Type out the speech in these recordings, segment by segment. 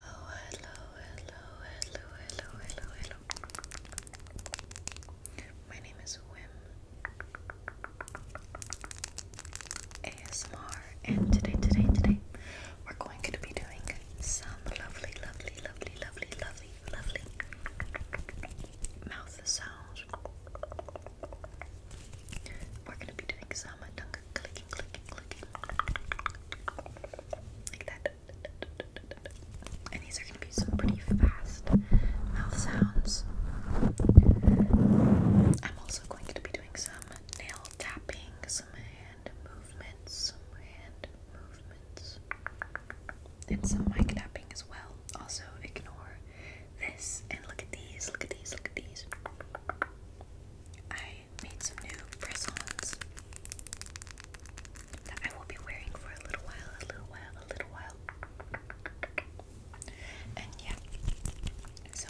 Hello, hello, hello, hello, hello, hello, hello. My name is Wim ASMR, and today, today, today, we're going to be doing some lovely, lovely, lovely, lovely, lovely, lovely mouth sounds. We're going to be doing some tongue clicking, clicking, clicking. Like that. And these are going to be some pretty fast mouth sounds. I'm also going to be doing some nail tapping, some hand movements, some hand movements, and some mic tapping as well. Also, ignore this and look at these, look at these, look at these. I made some new press-ons that I will be wearing for a little while, a little while, a little while. And yeah, so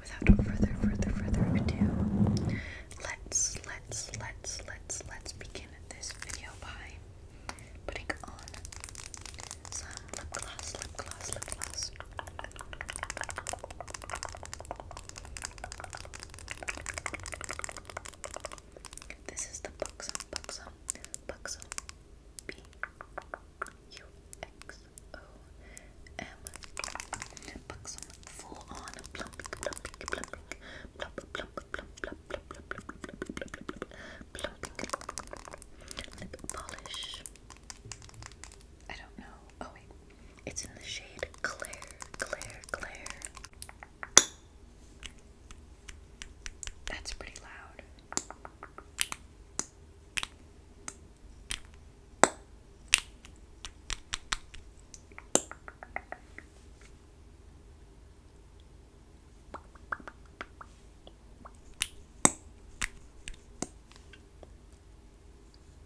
without further, further, further ado, let's, let's, let's, let's, let's begin this video by putting on some lip gloss, lip gloss, lip gloss. This is the Buxom, Buxom, Buxom, B U X O M. Buxom, full on plump, plump, plump, plump, plump, plump, plump, plump, plump, plump, plump, lip polish. I don't know. Oh wait, it's in the shade Claire, Claire, Claire. That's pretty loud.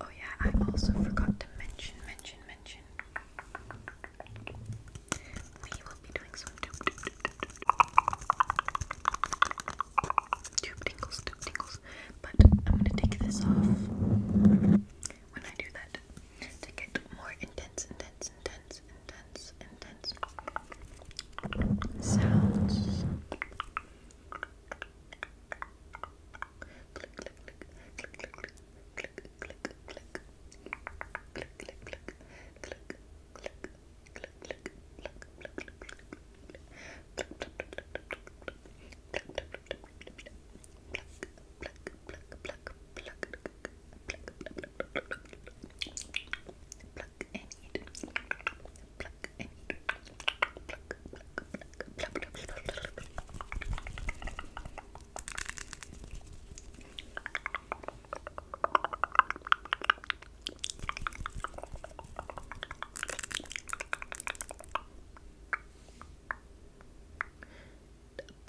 Oh yeah, I also forgot to mention, mention, mention. We will be doing some tube tube tube tube tube, tube tingles, tube tingles. But I'm gonna take this off when I do that to get more intense, intense, intense, intense, intense sounds. Click, click, click, click, click, click, click, click, click, click, click, click, click, click, click, pluck pluck pluck pluck pluck pluck, pluck, pluck and eat, pluck and eat, pluck, pluck, pluck, pluck, pluck, pluck. Up,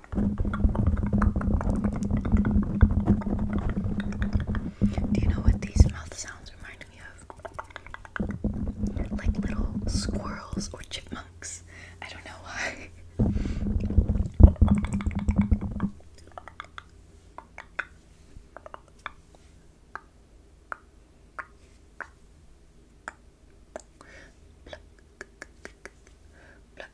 Do you know what these mouth sounds remind me of? Like little squirrels or chipmunks. I don't know why.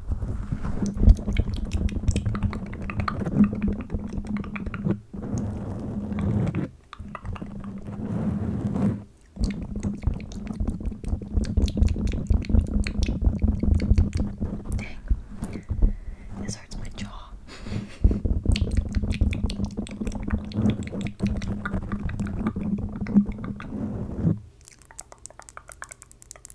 Dang, this hurts my jaw.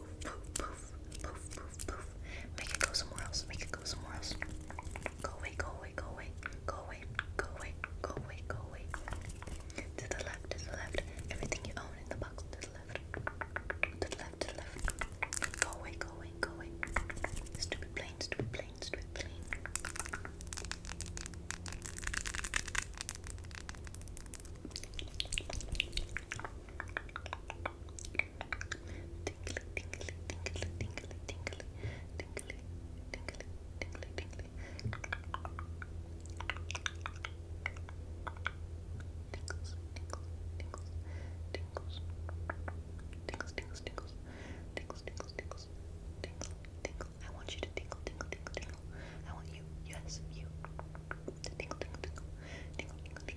poof, poof, poof, poof, poof, poof. Make it go somewhere else. Make it go somewhere else. Go away, go away, go away, go away, go away, go away, go away. To the left, to the left. Everything you own in the box to the left. To the left, to the left. Go away, go away, go away. Stupid plane, stupid plane, stupid plane. Tingly, tingly, tingly, tingly, tingly, tingly, tingly, tingly, tingly. Tingles, tingles, tingles, tingles, tingles, tingles, tingles, tingles, tingles, tingles, I want you to tingle, tingle, tingle, tingle. I want you, yes, you, to tingle, tingle, tingle, tingle,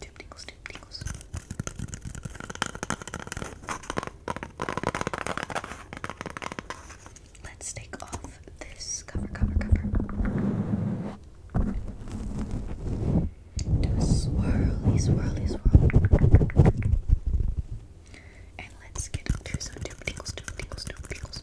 Tube Let's take off this cover, cover, cover. Do a swirly, swirly, swirl. And let's get to some tube tingles, tube tingles, tube tingles.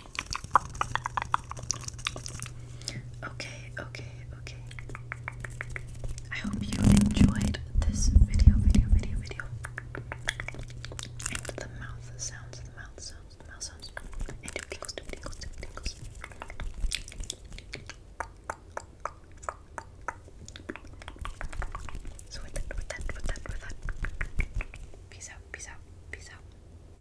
Okay, okay, okay. I hope you enjoyed this video, video, video, video. And the mouth sounds, the mouth sounds, mouth sounds. And tingles, tingles, tingles, tingles. So with that, with that, with that, with that. Peace out, peace out, peace out.